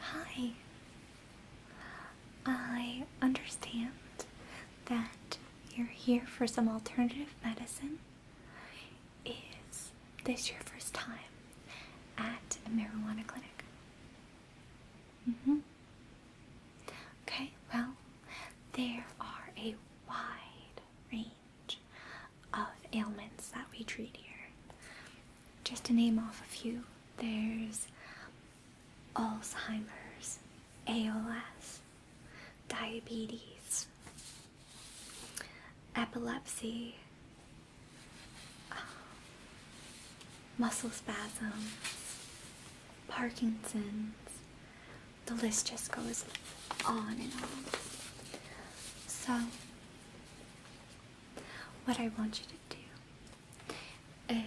Hi. I understand that you're here for some alternative medicine. Is this your first time at a marijuana clinic? Mm-hmm. Okay, well, there are a wide range of ailments that we treat here. Just to name off a few, there's Alzheimer's, ALS, diabetes, epilepsy, um, muscle spasms, Parkinson's. The list just goes on and on. So, what I want you to do is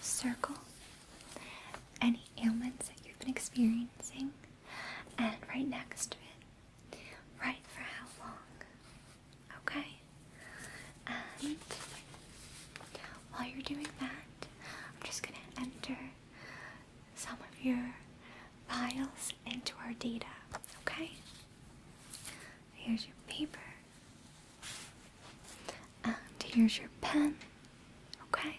circle any ailments that you've been experiencing and right next to it, write for how long. Okay? And while you're doing that, I'm just going to enter some of your files into our data, okay? Here's your paper. And here's your pen, okay?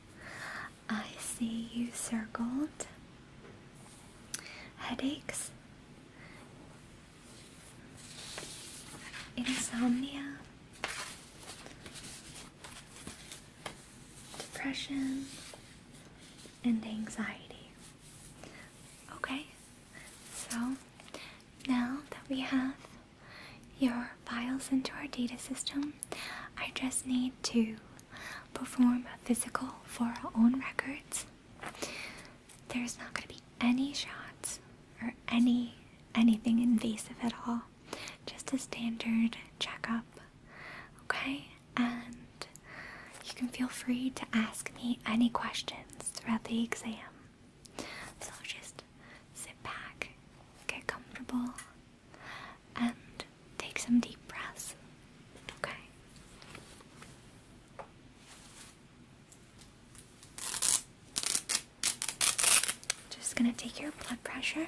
I see you circled. Headaches? Insomnia? Depression? And anxiety. Okay, so now that we have your files into our data system, I just need to perform a physical for our own records, there's not going to be any shots or any anything invasive at all. Just a standard checkup, okay? And you can feel free to ask me any questions throughout the exam. So just sit back, get comfortable, and take some deep breaths. Okay. Just going to take your blood pressure.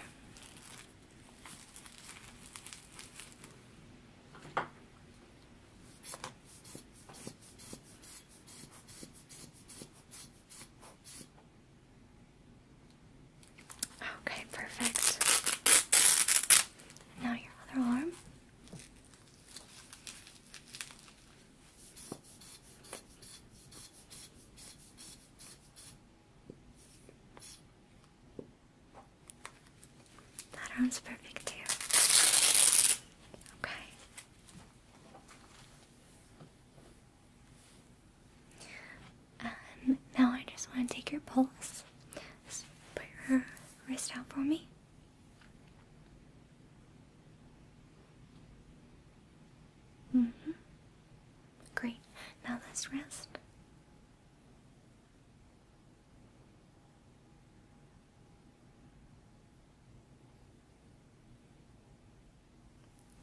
Okay, perfect. Now your other arm. That arm's perfect too. Okay. Um, now I just want to take your pulse. put your wrist out for me. hmm Great. Now let's rest.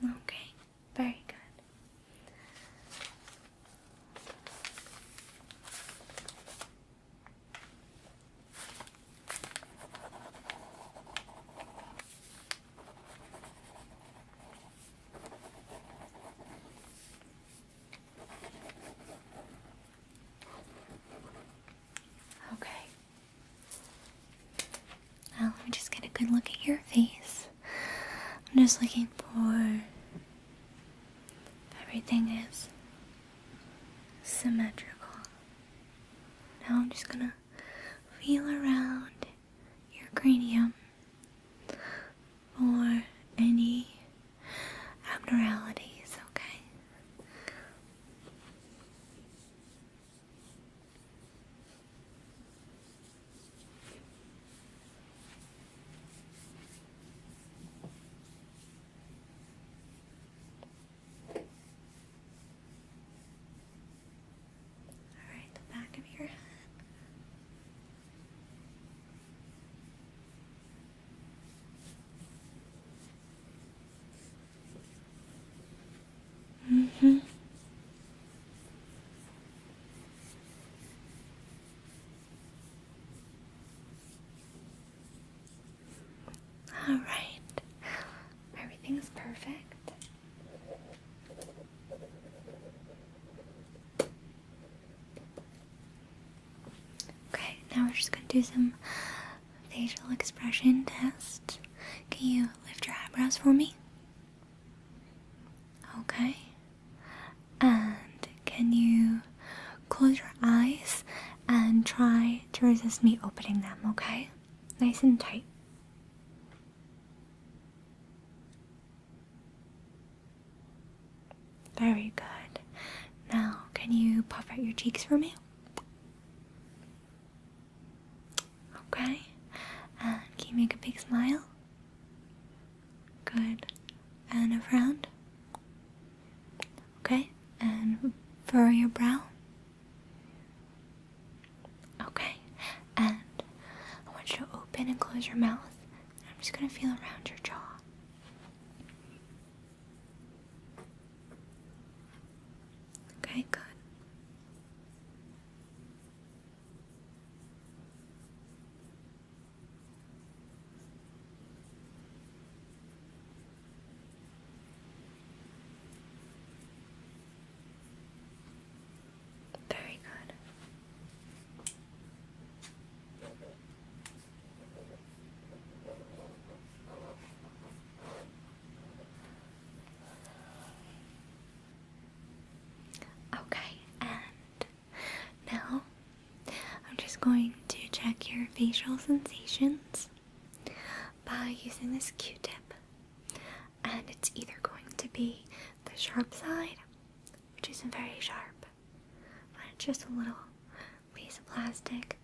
Okay, very good. Okay. Uh, let me just get a good look at your face. I'm just looking for Everything is symmetrical. Now I'm just gonna feel around your cranium for any abnormalities, okay? All right, the back of your head. Mm-hmm. All right, everything's perfect. Okay, now we're just going to do some facial expression test. Can you lift your eyebrows for me? Okay, and can you close your eyes and try to resist me opening them, okay? Nice and tight. Very good. Now, can you puff out your cheeks for me? Okay. And can you make a big smile? Good. And around. Okay. And furrow your brow. Okay. And I want you to open and close your mouth. I'm just going to feel around your jaw. Okay, good. Very good. Okay, and now, I'm just going to check your facial sensations by using this q tip. And it's either going to be the sharp side, which isn't very sharp, but it's just a little piece of plastic,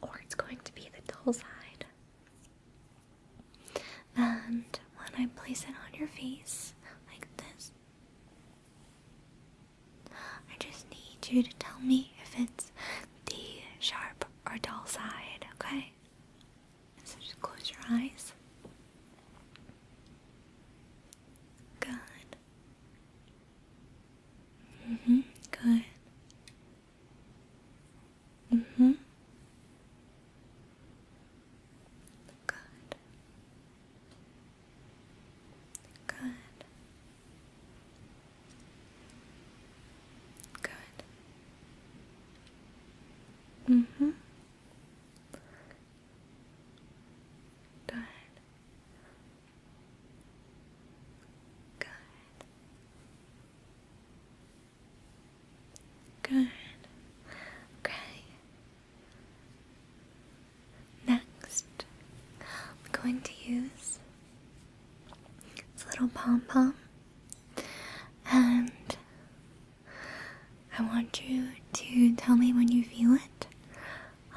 or it's going to be the dull side. And when I place it on your face, like this, I just need you to tell me if it's the sharp or dull side, okay? So just close your eyes. Good. hmm Good. hmm Good. Good. Good. Mm-hmm. Good. Good. Good. Okay. Next, I'm going to use this little pom pom, and I want you to tell me when you feel it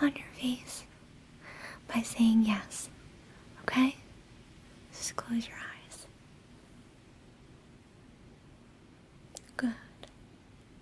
on your face by saying yes, okay? Just close your eyes. Good.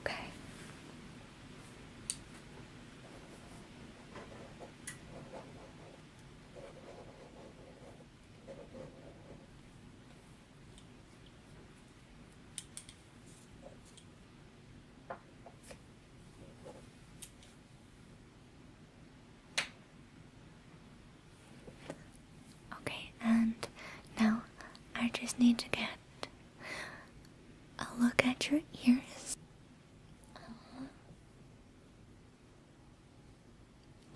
Okay. Okay, and now I just need to get I'll look at your ears.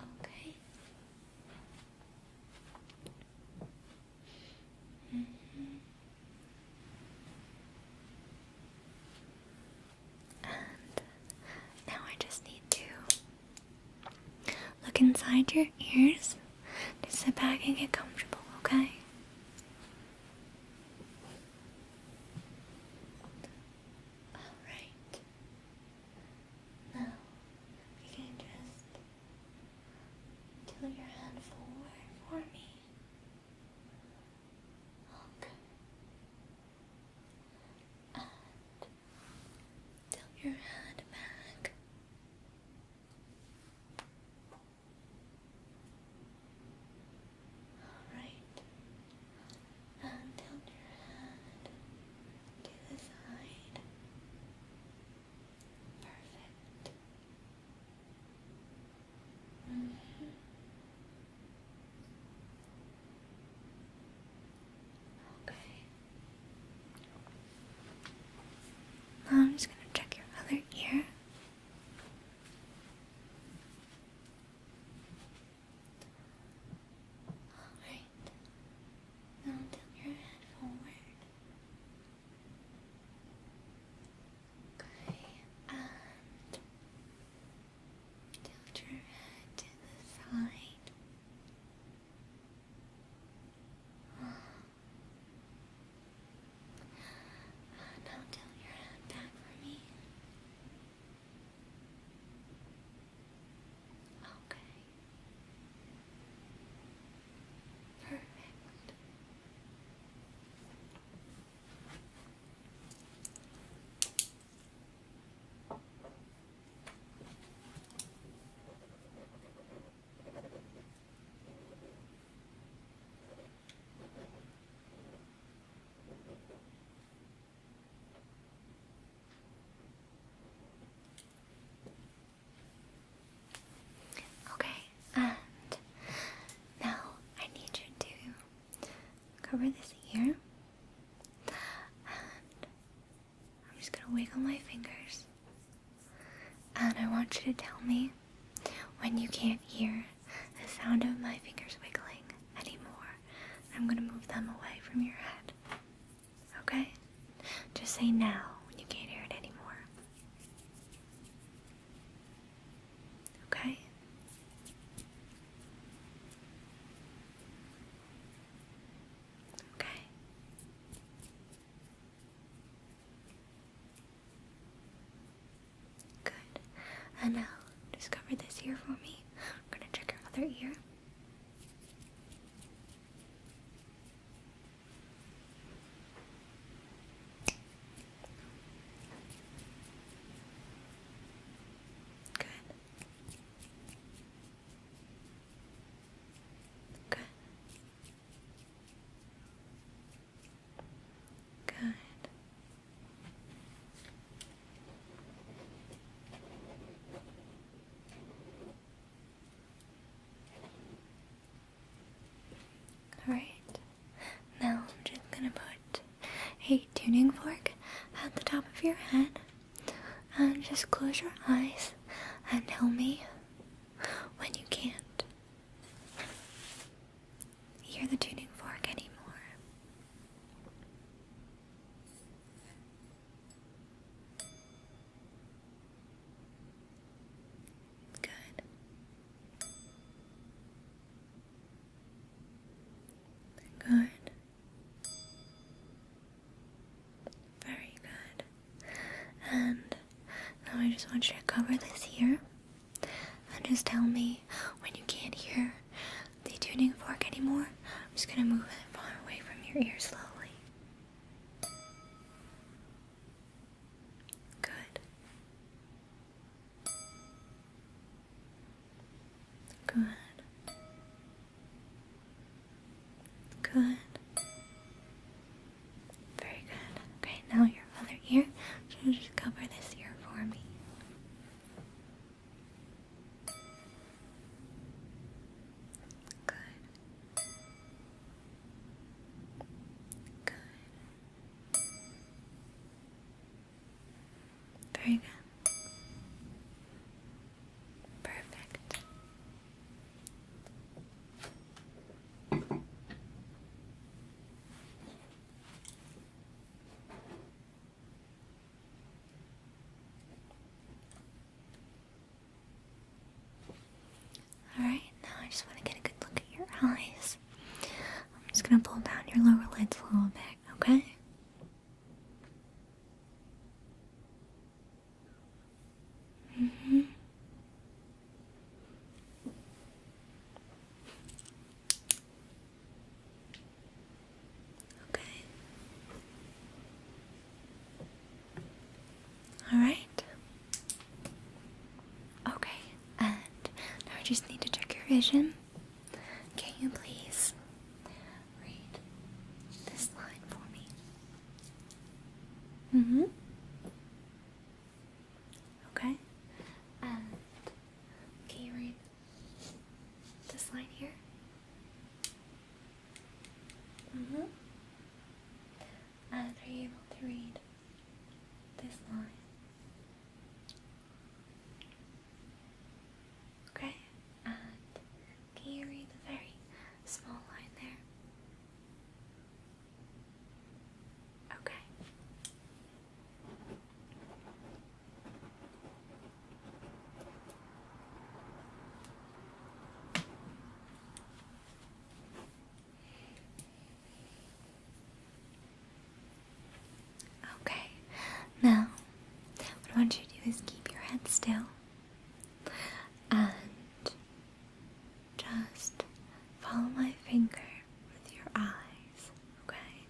Okay. And now I just need to look inside your ears just sit back and get comfortable, okay? Alright. Now, you can just tilt your hand forward for me. Okay. And tilt your hand back. Alright. And your head to the side. Perfect. Mm-hmm. Okay. I'm just going to check your other ear. Alright. Now tilt your head forward. Okay, and tilt your head to the side. Now tilt your head back for me. Okay. Perfect. Okay, and now I need you to cover this ear, and I'm just gonna wiggle my fingers and I want you to tell me when you can't hear the sound of my fingers wiggling anymore. I'm gonna move them away from your head. Okay? Just say now when you can't hear it anymore. Okay? Okay. Good. And now, discover this ear for me. I'm gonna check your other ear. Good. Good. Good. Alright, now I'm just gonna put a tuning fork at the top of your head and just close your eyes and tell me when you can't hear the tuning fork anymore. Good. Good. Very good. And now I just want you to cover this here and just tell me when you can't hear the tuning fork anymore. I'm just gonna move it far away from your ear slowly. Good. Good. Good. Very good. Okay, now your other ear. So just cover this ear for me. Good. Good. Very good. Perfect. Alright, now I just want to get a good look at your eyes. I'm just going to pull down your lower lids a little bit, okay? hmm. Okay. All right. Okay, and I just need to check your vision. Can you please read this line for me? Mm hmm. Okay? And can you read this line here? Mm-hmm. And are you able to read this line? Okay, and can you read the very small line there? Okay. Okay. Now, what I want you to do is keep your head still and just follow my finger with your eyes, okay?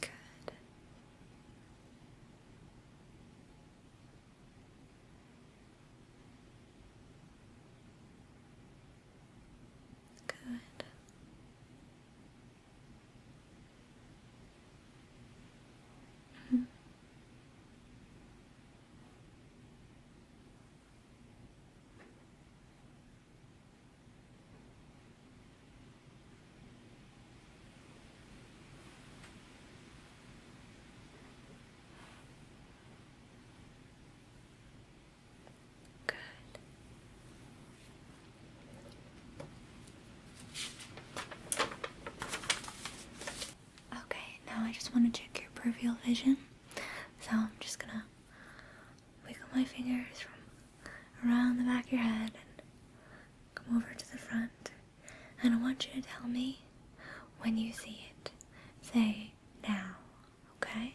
Good. Good. Mm -hmm. Good. Okay, now I just want to check your peripheral vision. So I'm just gonna wiggle my fingers from around the back of your head and come over to the front. And I want you to tell me when you see it. Say now, okay?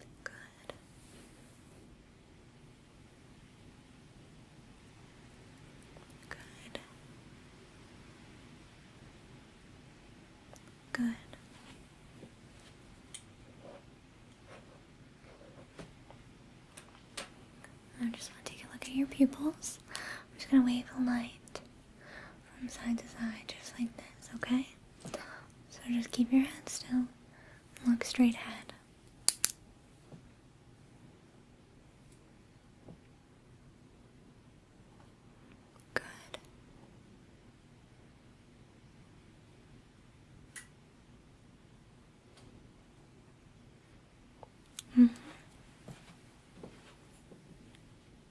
Good. Good. Good. I just want to take a look at your pupils. I'm just going to wave a light from side to side, just like this, okay? So just keep your head still and look straight ahead. Good. -hmm.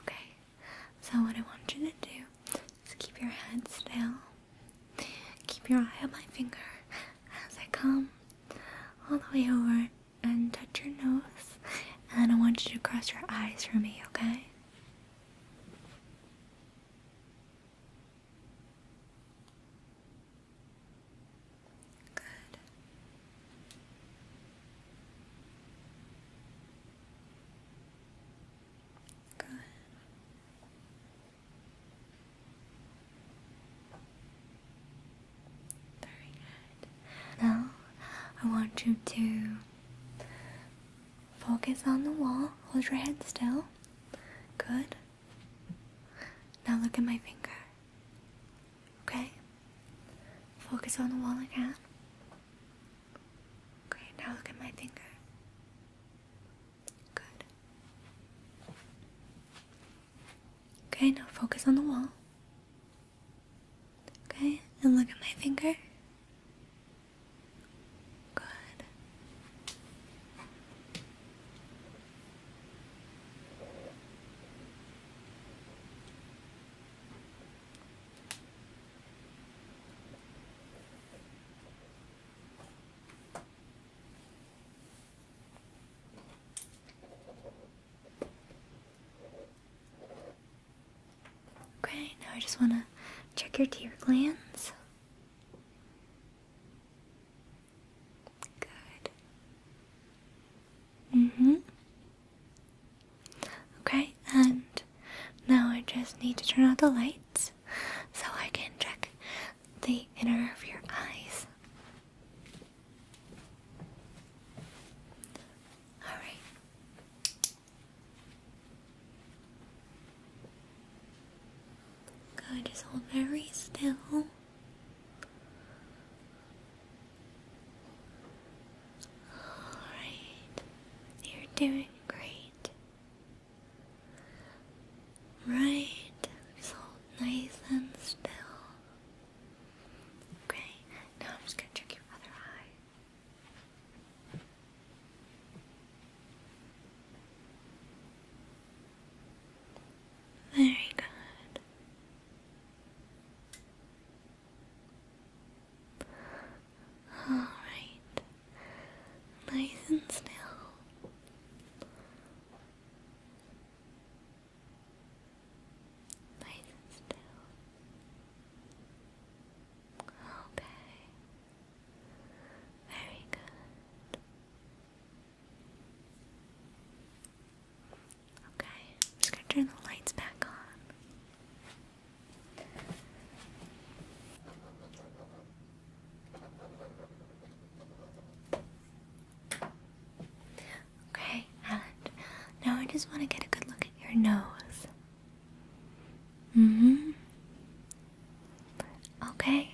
Okay, so what I want you to do is keep your head still, keep your eye on my finger as I come all the way over and touch your nose, and I want you to cross your eyes for me, okay? Good. Very good. Now, I want you to focus on the wall. Hold your head still. Good. Now look at my finger. Okay? Focus on the wall again. Okay, now look at my finger. Good. Okay, now focus on the wall. Okay, and look at my finger. Good. Okay, now I just want to check your tear glands. Good. Mm hmm. Okay, and now I just need to turn out the lights so I can check the inner of your eyes. Alright. Good, just hold very still. Alright, you're doing great. Right, so nice and still. Okay, now I'm just gonna check your other eye. Very good. Alright. Nice and still. Nice and still. Okay. Very good. Okay, I'm just gonna turn the lights back on. Okay, and now I just want to get a good look at your nose. hmm Okay.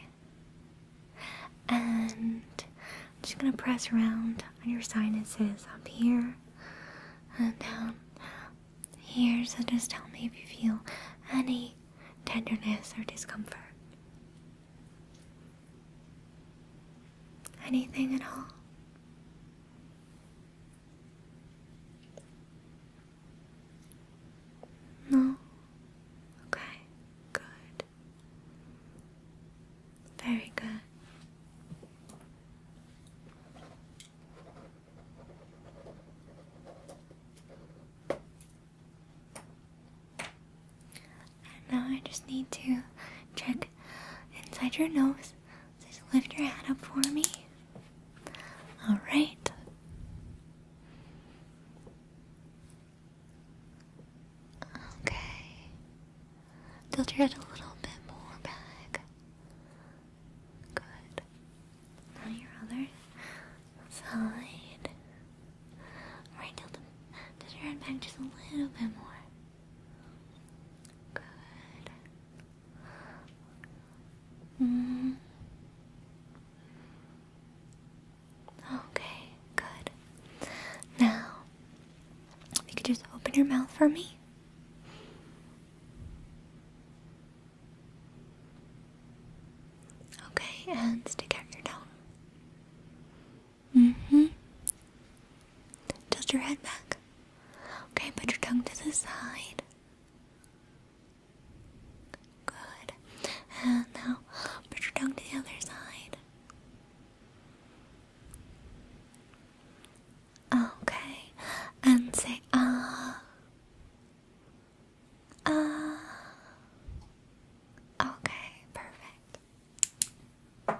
And I'm just gonna press around on your sinuses up here and down um, here, so just tell me if you feel any tenderness or discomfort. Anything at all? No? Okay, good. Very good now I just need to check inside your nose. Just lift your head up for me. Alright. Okay. Tilt your head a little bit more back. Good. Now your other side. Alright, tilt, your head back just a little bit more. Good. Mm. Okay, good. Now, you could just open your mouth for me. Okay, and stick out your tongue. Mm-hmm. Tilt your head back. Okay, put your tongue to the side. Good. And now put your tongue to the other side. Okay, and say ah. Ah. Okay, perfect. Okay,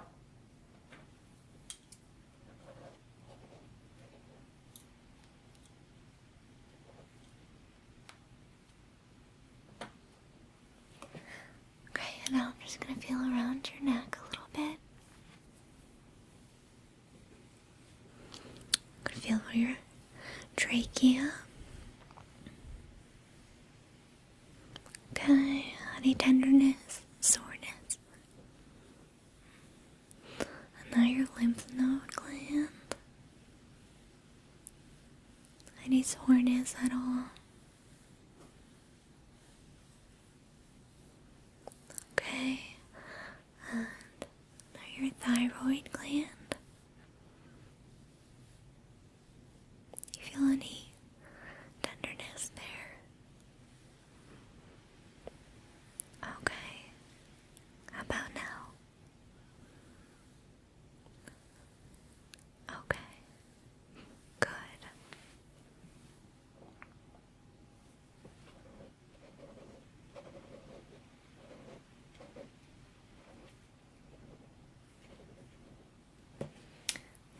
and now I'm just going to feel around your neck a little bit. I can feel where your trachea. Okay, any tenderness, soreness. And now your lymph node gland. Any soreness at all? Okay, and your thyroid gland. You feel any tenderness there? Okay, about now? Okay, good.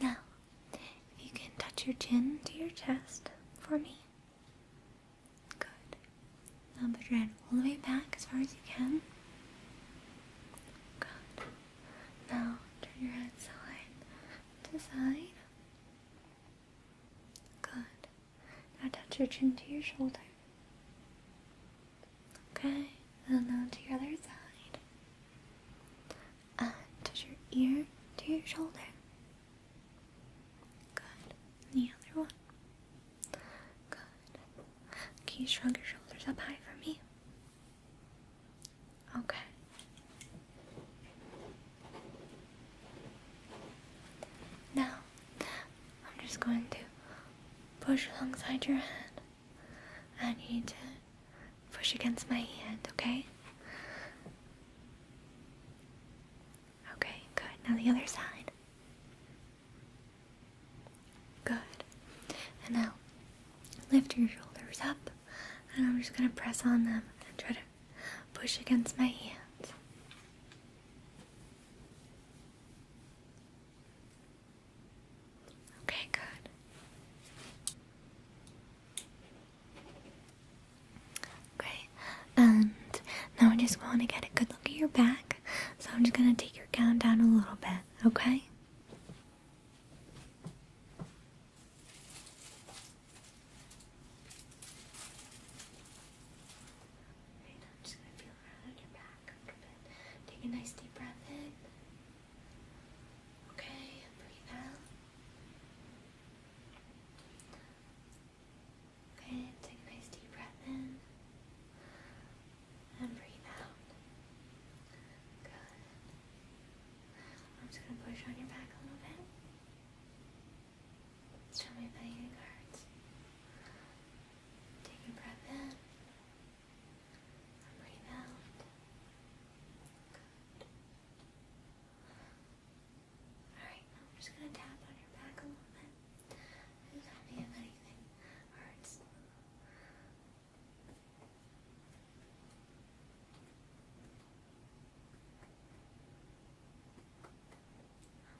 Now, if you can touch your chin to your chest for me. Good. Now put your head all the way back as far as you can. Good. Now turn your head side to side. Good. Now touch your chin to your shoulder. Okay, and now to your other side. And uh, touch your ear to your shoulder. Good. And the other one. Good. Can you shrug your shoulders up high for me? Okay. Now, I'm just going to push alongside your head, and you need to push against my hand, okay? Okay, good. Now the other side. Good. And now lift your shoulders up, and I'm just going to press on them and try to push against my hand. Okay, good. Okay, and now I am just going to get a good look at your back, so I'm just going to take your gown down a little bit, okay? I'm just gonna feel around your back a little bit. Take a nice deep breath in. Okay, breathe out. Okay, take a nice deep breath in. And breathe out. Good. I'm just gonna push on your back a little bit. Show me playing cards. Take a breath in. breathe out. Good. Alright, I'm just gonna tap on your back a little bit. tell me if anything hurts.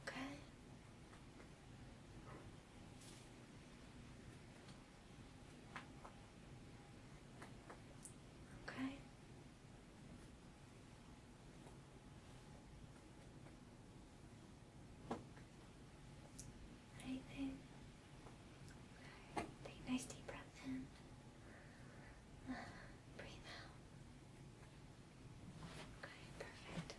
Okay. Okay. Anything? Take nice deep breath Breathe out. Okay, perfect.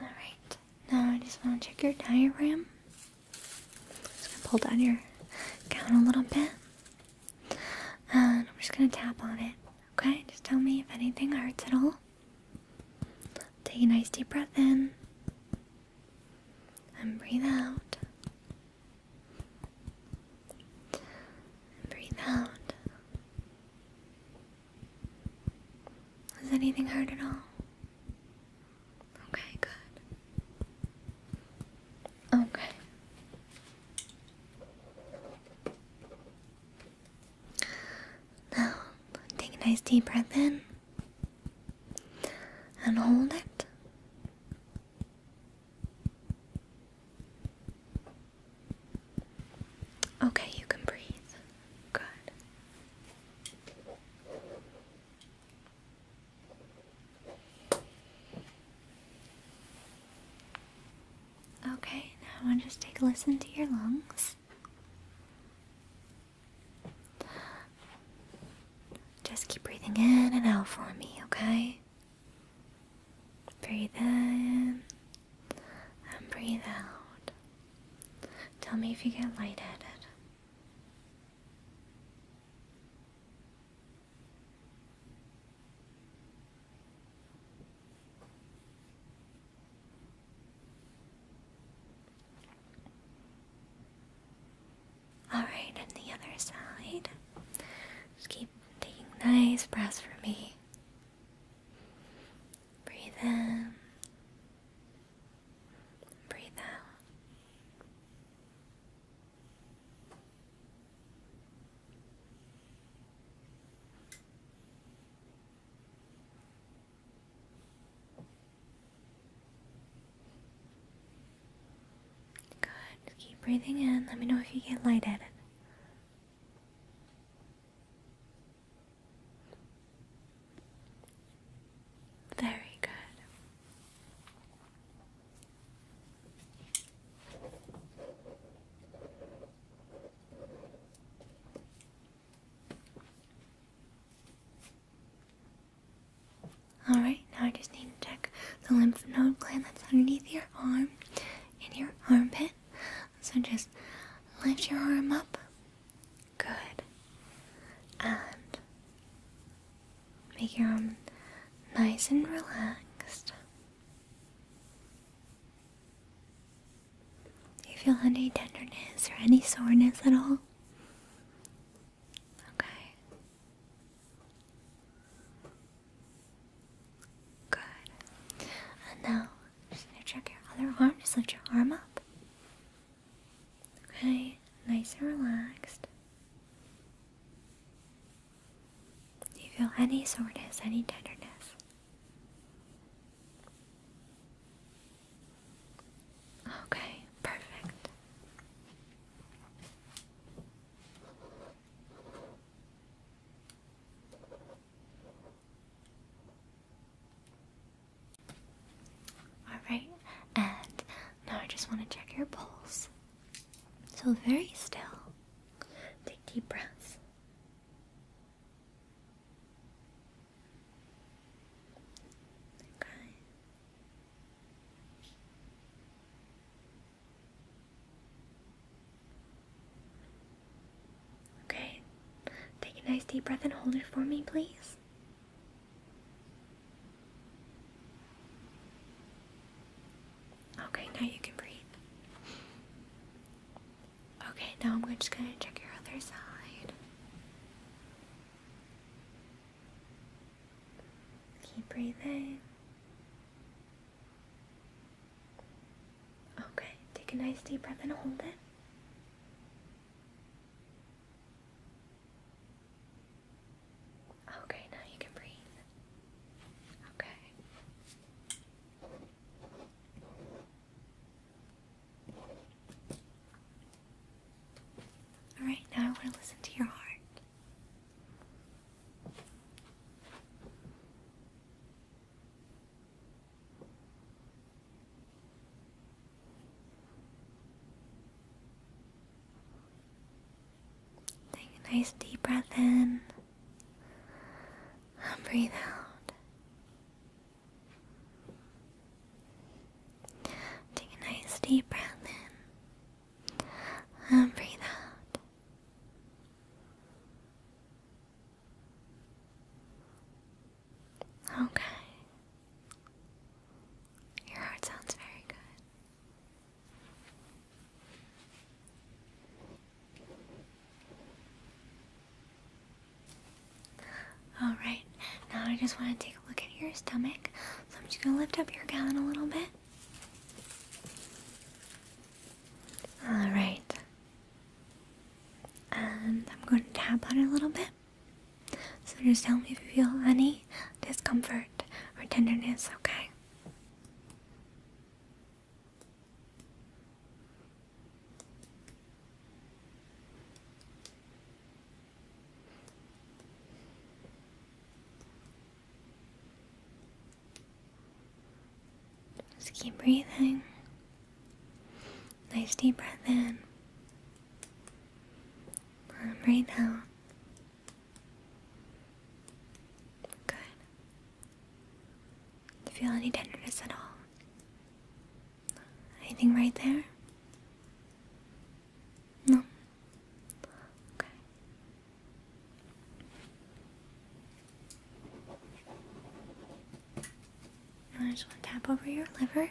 Alright, now I just want to check your diaphragm. Just gonna pull down your gown a little bit. And I'm just gonna tap on it. Okay? Just tell me if anything hurts at all. Take a nice deep breath in. And breathe out breathe out. Does anything hurt at all? Okay, good. Okay. Now, take a nice deep breath in and hold it. Okay, you can breathe. Good. Okay, now i to just take a listen to your lungs. Just keep breathing in and out for me, okay? Breathe in and breathe out. Tell me if you get lightheaded. Alright, and the other side. Just keep taking nice breaths for me. Breathe in, breathe out. Good. Keep breathing in. Let me know if you get lightheaded. Very good. All right, now I just need to check the lymph node gland that's underneath your arm, in your armpit. So just lift your arm up. Good. And make your arm nice and relaxed. Do you feel any tenderness or any soreness at all? Okay. Good. And now, just gonna check your other arm. Just lift your arm up. Okay, nice and relaxed. Do you feel any soreness, any tenderness? Okay, perfect. Alright, and now I just want to check your pulse. So, very still. Take deep breaths. Okay. Okay, take a nice deep breath and hold it for me, please. Okay, now you can breathe. Okay, now I'm just going to check your other side. Keep breathing. Okay, take a nice deep breath and hold it. Okay, now you can breathe. Okay. All right, now I want to listen to your heart. Take a nice deep breath in and breathe out. Take a nice deep breath in and breathe out. Okay. Your heart sounds very good. Alright, now I just want to take a look at your stomach. So I'm just going to lift up your gown a little bit. Alright, and I'm going to tap on it a little bit. So just tell me if you feel any discomfort or tenderness, okay? Just keep breathing. Nice deep breath in. Right now. Good. feel any tenderness at all? Anything right there? No. Okay. I just want to tap over your liver.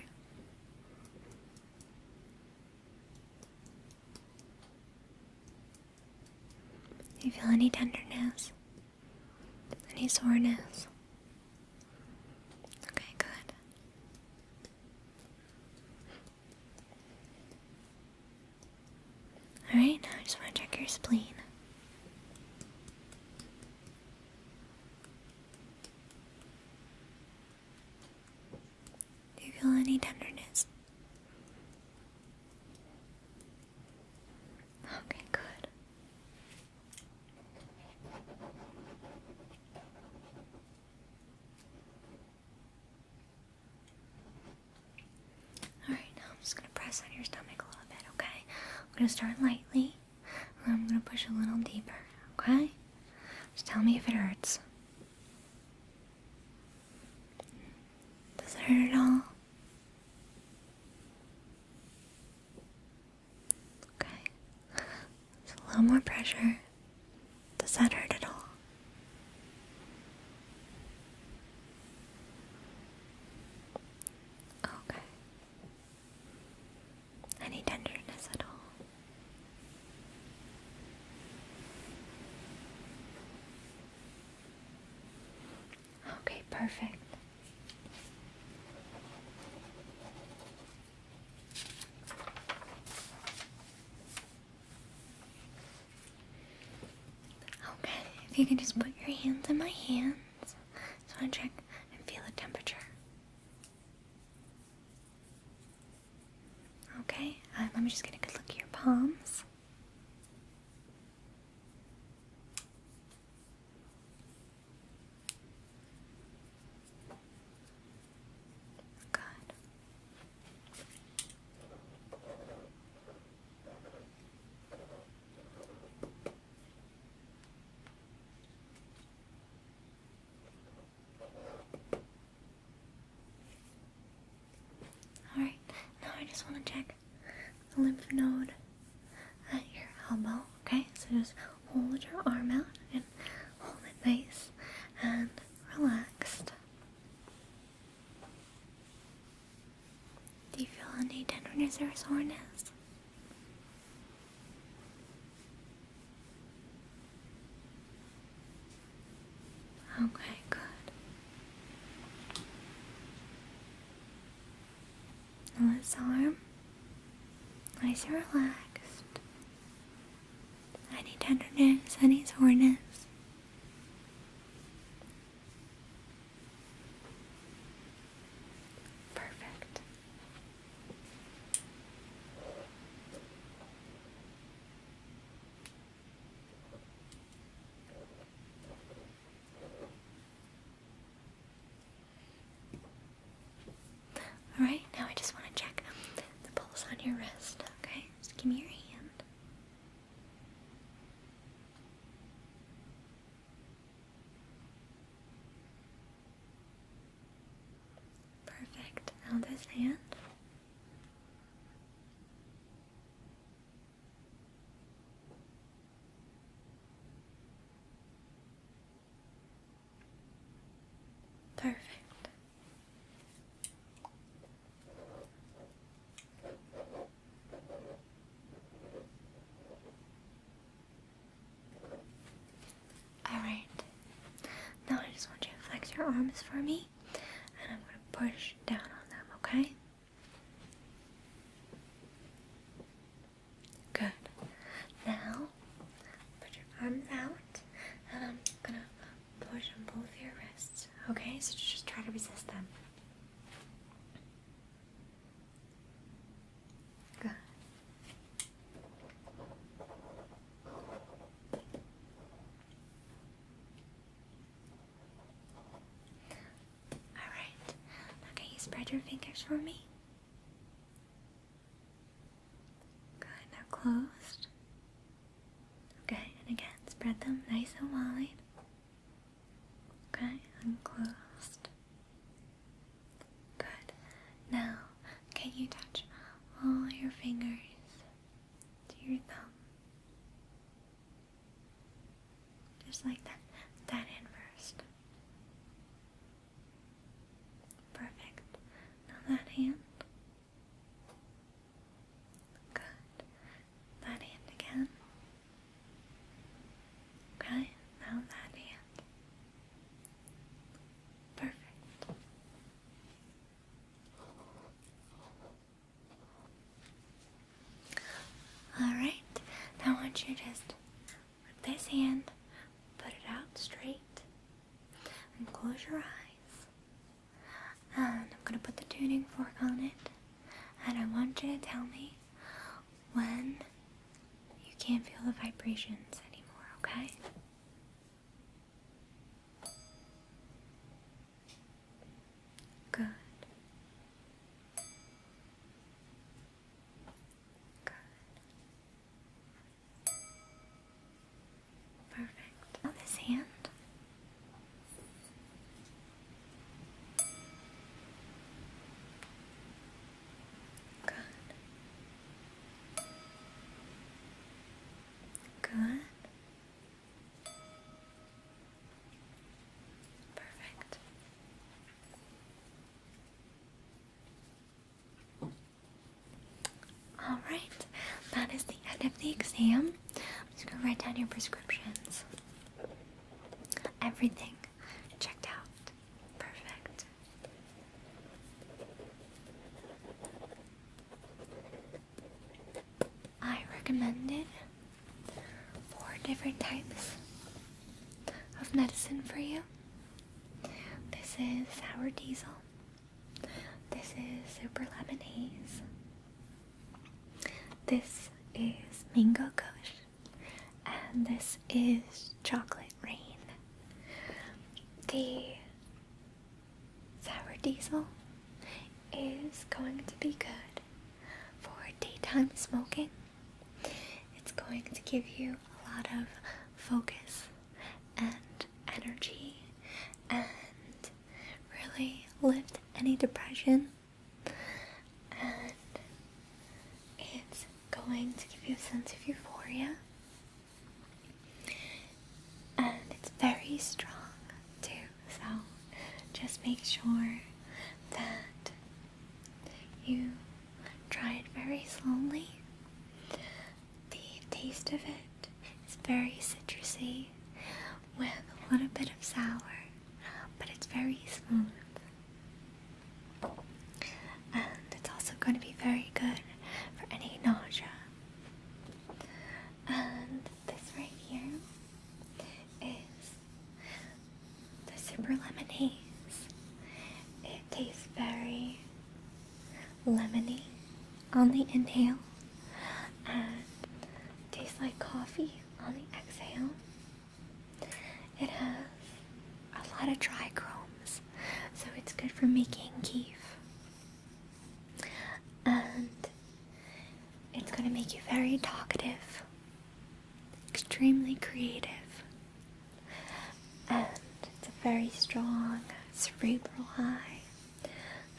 Do you feel any tenderness? Any soreness? Okay, good. Alright, now I just want to check your spleen. Do you feel any tenderness? Okay, good. Alright, now I'm just gonna press on your stomach a little bit, okay? I'm gonna start lightly, and I'm gonna push a little deeper, okay? Just tell me if it hurts. Does it hurt at all? Okay. a little more pressure. Does that hurt at all? Okay. Any tenderness at all? Okay, perfect. Okay, if you can just put your hands in my hands. I want to check and feel the temperature. Okay, uh, let me just get a good look at your palms. Good. Alright, now I just want to check the lymph node at your elbow, okay? So just hold your arm out and hold it nice and relaxed. Do you feel any tenderness or soreness? Okay, good. Now arm, nice and relaxed. Any tenderness, any soreness? Perfect. Alright, now I just want to check the pulse on your wrist, okay? Just give me your hand. Perfect. Now this hand. Perfect. Alright, now I just want you to flex your arms for me, and I'm going to push down on them, okay? Good. Now, put your arms out, and I'm going to push on both your wrists, okay? So just try to resist them. Good. Alright, now you spread your fingers for me? Good, now closed. Okay, and again, spread them nice and wide. Okay, unclosed. Good. Now, can you touch all your fingers to your thumb? Just like that. That in first. Perfect. Now that hand. Good. That hand again. Okay, now that hand. Perfect. Alright, now I want you to just this hand, put it out straight, and close your eyes. And I'm gonna put the tuning fork on it, and I want you to tell me when you can't feel the vibrations anymore, okay? Good. Good. Perfect. this hand, Good. Good. Perfect. All right, that is the end of the exam. I'm just gonna write down your prescriptions. Everything checked out. Perfect. I recommended four different types of medicine for you. This is sour diesel. This is super lemonade. This is mango kush and this is Chocolate Rain. The Sour Diesel is going to be good for daytime smoking. It's going to give you a lot of focus and energy and really lift any depression and it's going to give you a sense of euphoria, and it's very strong too. So just make sure that you try it very slowly. The taste of it is very citrusy with a little bit of sour, but it's very smooth. And it's also going to be very good for any nausea. And this right here is the super lemonade. It tastes very lemony on the inhale and tastes like coffee on the exhale. It has a lot of trichromes, so it's good for making keef. And it's going to make you very talkative, extremely creative, and it's a very strong cerebral high.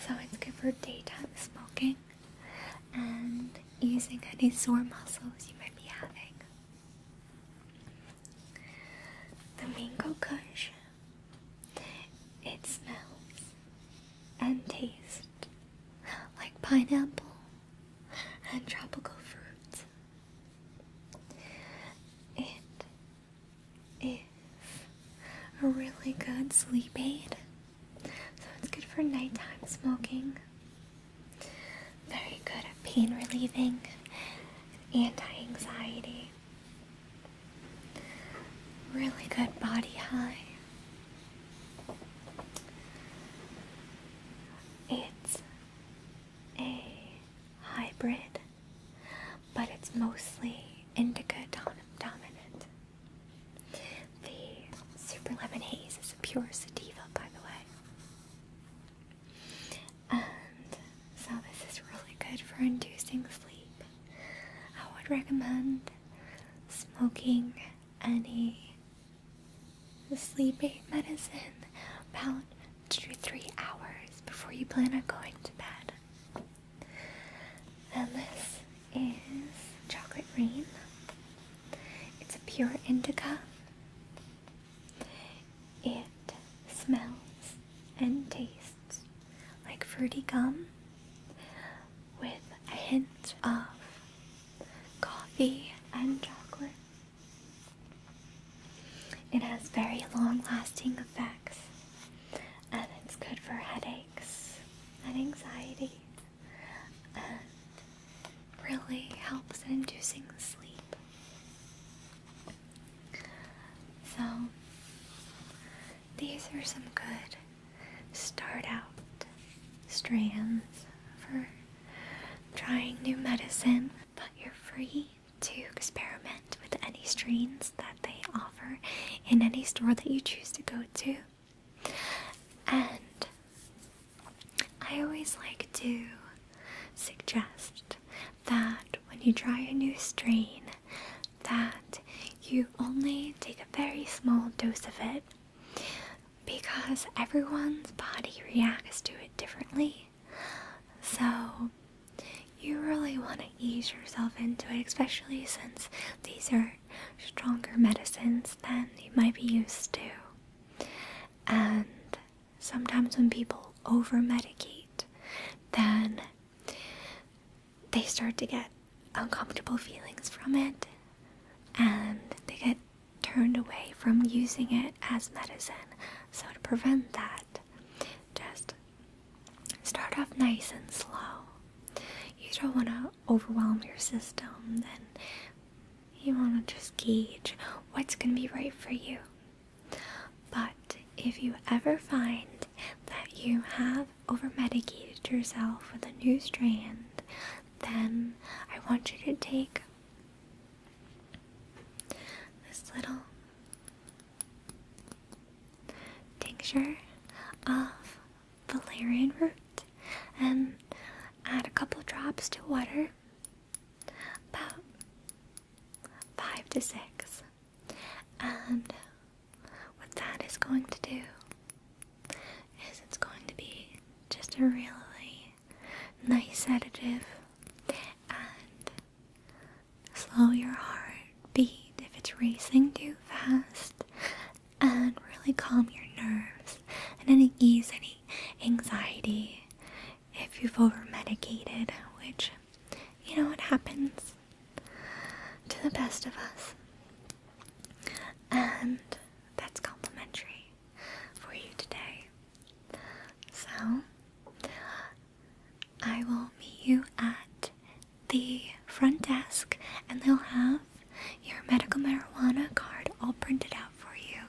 So it's good for daytime smoking and using any sore muscles you might be having. The mango kush. It smells and tastes like pineapple and tropical fruits. It is a really good sleep aid, so it's good for nighttime smoking. Very good at pain relieving and anti-anxiety. Really good body high. It's a hybrid, but it's mostly indica dominant. The Super Lemon Haze is a pure sativa, by the way. And so this is really good for inducing sleep. I would recommend smoking any sleep aid medicine about two to three hours before you plan on going to bed. And this is chocolate green. It's a pure indica. It smells and tastes like fruity gum with a hint of coffee and chocolate. It has very long lasting effects and it's good for headaches and anxiety really helps in inducing sleep. So, these are some good start out strands for trying new medicine, but you're free to experiment with any strains that they offer in any store that you choose to go to. And I always like to suggest that when you try a new strain that you only take a very small dose of it because everyone's body reacts to it differently. So you really want to ease yourself into it, especially since these are stronger medicines than you might be used to. And sometimes when people over medicate, then they start to get uncomfortable feelings from it and they get turned away from using it as medicine. So, to prevent that, just start off nice and slow. You don't want to overwhelm your system and you want to just gauge what's going to be right for you. But if you ever find that you have over medicated yourself with a new strand, then I want you to take this little tincture of valerian root and add a couple drops to water about five to six. And what that is going to do is it's going to be just a really nice sedative and slow your heartbeat if it's racing too fast and really calm your nerves and any ease any anxiety if you've over medicated, which you know what happens to the best of us. And that's complimentary for you today. So I will meet you at the front desk and they'll have your medical marijuana card all printed out for you.